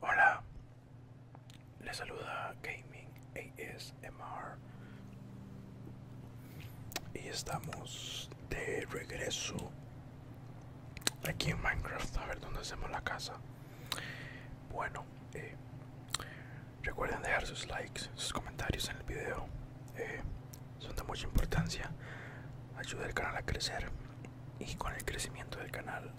Hola, les saluda Gaming ASMR y estamos de regreso aquí en Minecraft a ver dónde hacemos la casa. Bueno, eh, recuerden dejar sus likes, sus comentarios en el video. Eh, son de mucha importancia ayuda el canal a crecer y con el crecimiento del canal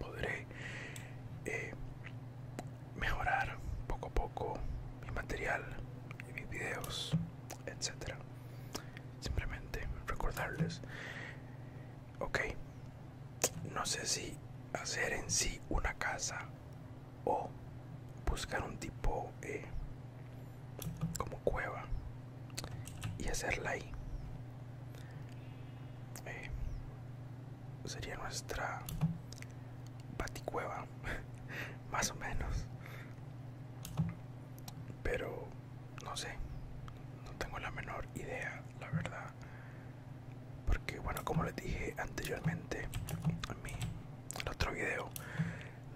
podré eh, mejorar poco a poco mi material y mis videos etcétera simplemente recordarles ok no sé si hacer en sí una casa o buscar un tipo eh, como cueva y hacerla ahí eh, sería nuestra baticueva más o menos pero no sé no tengo la menor idea la verdad porque bueno como les dije anteriormente en mi otro video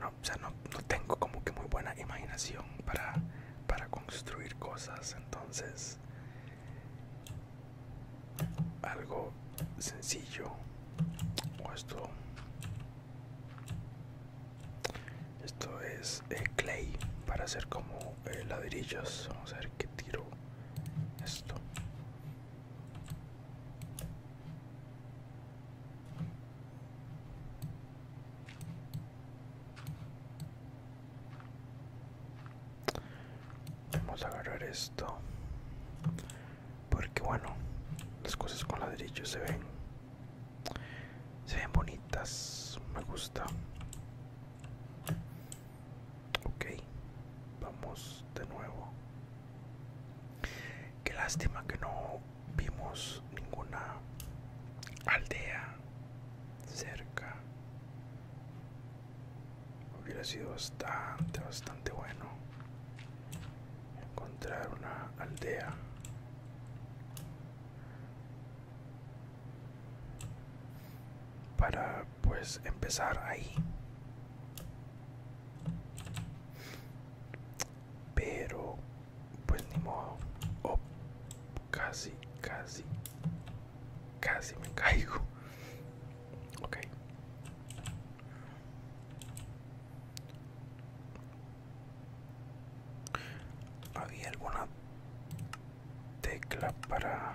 no o sea, no, tengo como que muy buena imaginación para, para construir cosas, entonces algo sencillo o esto esto es eh, clay para hacer como eh, ladrillos vamos a ver qué tiro esto Vamos a agarrar esto. Porque bueno, las cosas con ladrillos se ven. Se ven bonitas. Me gusta. Ok. Vamos de nuevo. Qué lástima que no vimos ninguna aldea cerca. Hubiera sido bastante, bastante bueno encontrar una aldea. Para pues empezar ahí pero, pues ni modo. Oh, casi, casi, casi me caigo. Ok. Había alguna tecla para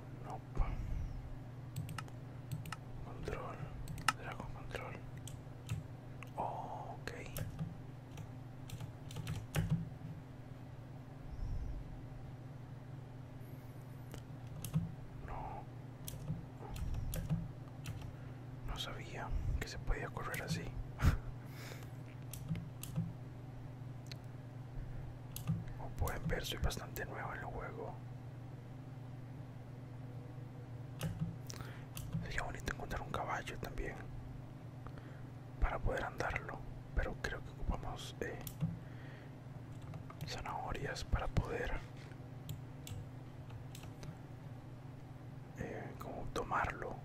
Nope. Control. Dragon control. Oh, ok. No. No sabía que se podía correr así. Como pueden ver, soy bastante nuevo en el juego. Sería bonito encontrar un caballo también para poder andarlo, pero creo que ocupamos eh, zanahorias para poder eh, como tomarlo,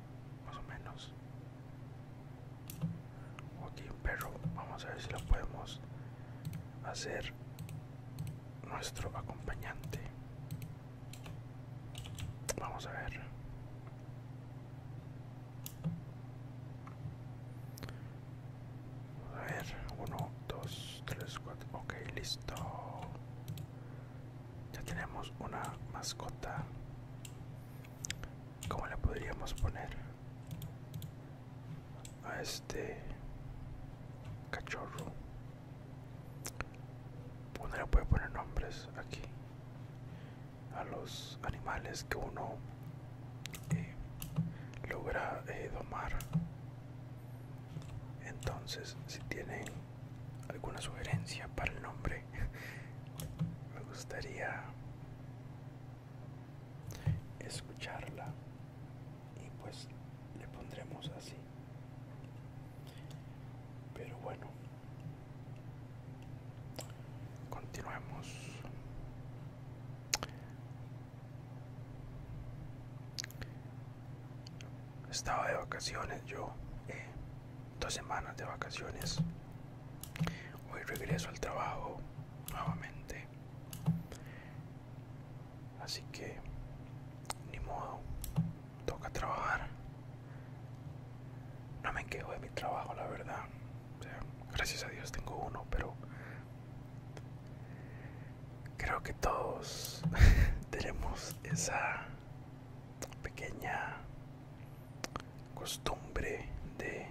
más o menos aquí un perro vamos a ver si lo podemos hacer nuestro acompañante vamos a ver a ver uno, dos, tres, cuatro, ok listo ya tenemos una mascota ¿Cómo le podríamos poner? A este cachorro. Uno le puede poner nombres aquí a los animales que uno eh, logra eh, domar. Entonces, si tienen alguna sugerencia para el nombre me gustaría escucharla y pues le pondremos así pero bueno continuemos estaba de vacaciones yo eh, dos semanas de vacaciones. Hoy regreso al trabajo nuevamente. Así que, ni modo, toca trabajar. No me quejo de mi trabajo, la verdad. O sea, gracias a Dios tengo uno, pero creo que todos tenemos esa pequeña costumbre de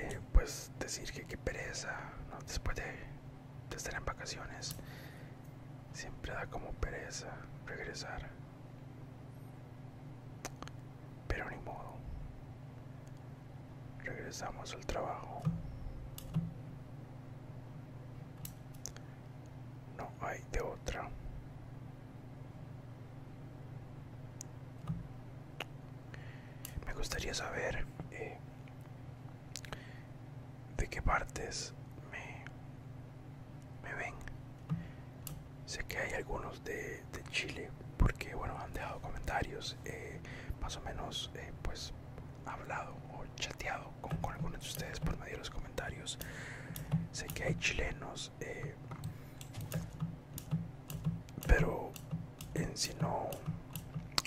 eh, pues decir que qué pereza después de estar en vacaciones siempre da como pereza regresar pero ni modo Regresamos al trabajo. No hay de otra. Me gustaría saber eh, de qué partes me, ven. Sé que hay algunos de, Chile porque bueno han dejado comentarios eh, más o menos eh, pues hablado o chateado con, algunos de ustedes por medio de los comentarios. Sé que hay chilenos, eh, pero en si no,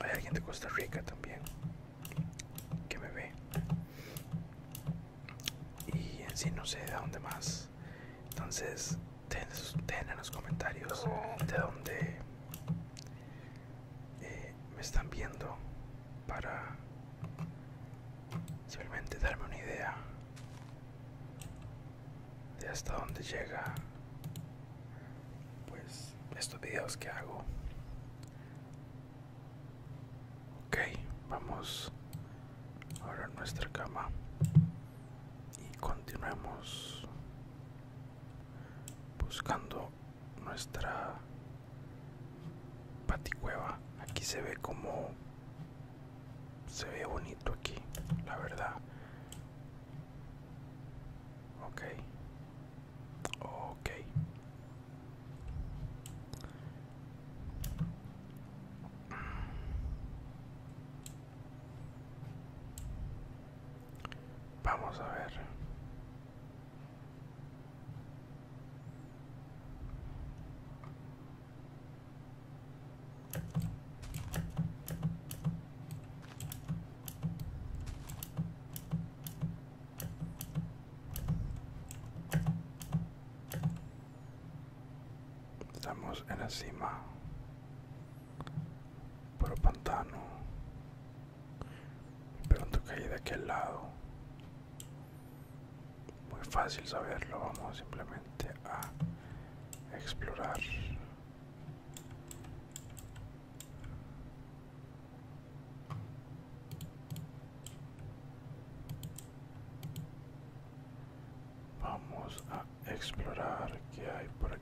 hay alguien de Costa Rica también que me ve. Y en si no sé de dónde más. Entonces, ten en los comentarios de dónde eh, me están viendo para simplemente darme una idea de hasta dónde llega pues estos videos que hago ok vamos ahora a nuestra cama y continuemos buscando nuestra paticueva aquí se ve como se ve bonito aquí la verdad ok ok Vamos a ver. Estamos en la cima pero pantano. Pero en caí de aquel lado. Muy fácil saberlo. Vamos simplemente a explorar. Vamos a explorar qué hay por aquí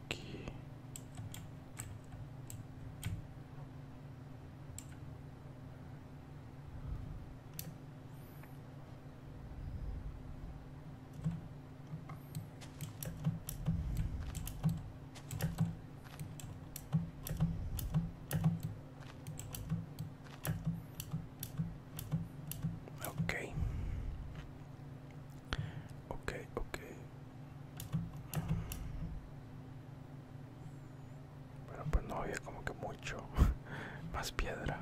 Ok, Ok, ok. Bueno, pues no había como que mucho más piedra.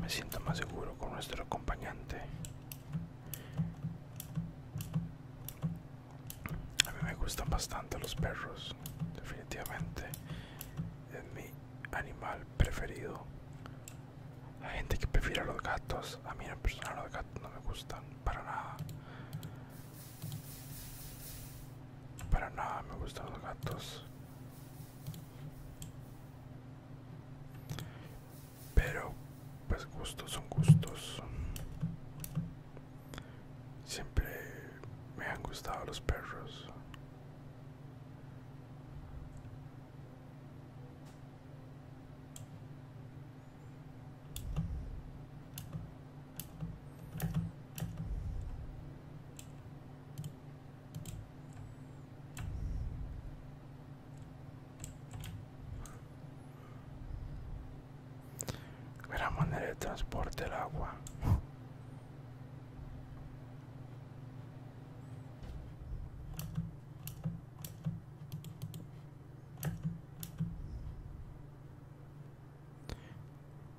Me siento más seguro con nuestro acompañante. A mí me gustan bastante los perros, definitivamente animal preferido. la gente que prefiere los gatos. A mí en persona los gatos no me gustan para nada. Para nada me gustan los gatos. Pero pues gustos son gustos. Siempre me han gustado los perros. La manera de transporte del agua.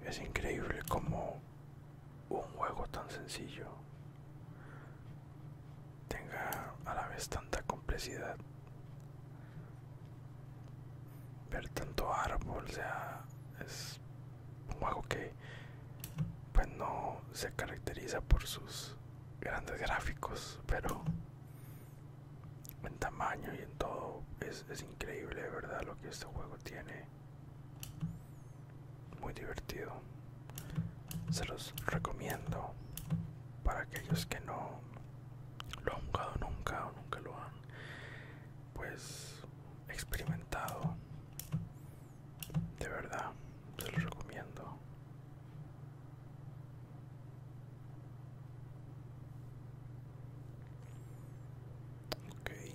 Es increíble como un juego tan sencillo tenga a la vez tanta complejidad. Ver tanto árbol, sea, es un juego que pues no se caracteriza por sus grandes gráficos pero en tamaño y en todo es, increíble verdad lo que este juego tiene muy divertido se los recomiendo para aquellos que no lo han jugado nunca o nunca lo han pues experimentado de verdad se lo recomiendo Okay.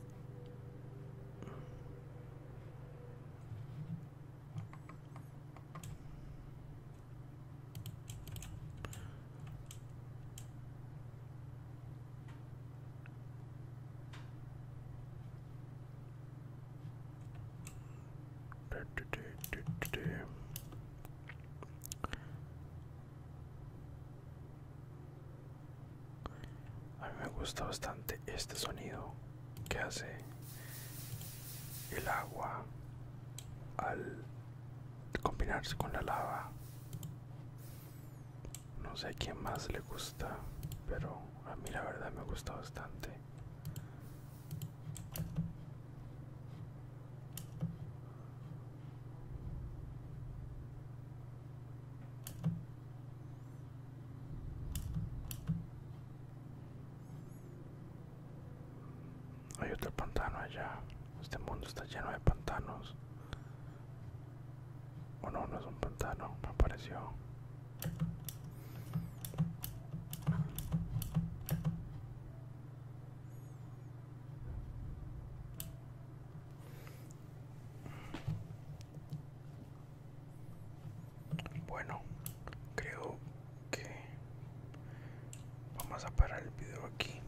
A mí me gusta bastante este sonido que hace el agua al combinarse con la lava no sé a quién más le gusta, pero a mí la verdad me gusta bastante. Hay otro pantano allá. Este mundo está lleno de pantanos. O no, no es un pantano, me apareció. Bueno, creo que vamos a parar el video aquí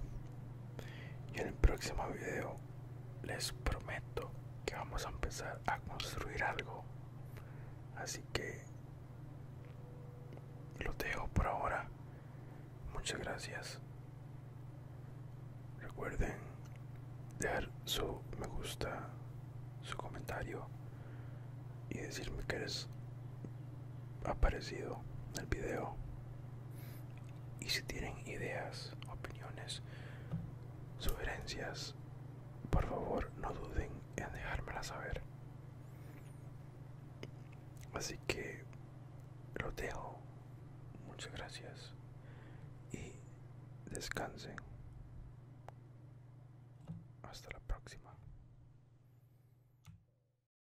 y en el próximo video les prometo que vamos a empezar a construir algo así que lo dejo por ahora muchas gracias recuerden dejar su me gusta su comentario y decirme que les ha parecido el video y si tienen ideas, opiniones, sugerencias, por favor no duden en dejármela saber. Así que lo dejo. Muchas gracias y descansen. Hasta la próxima.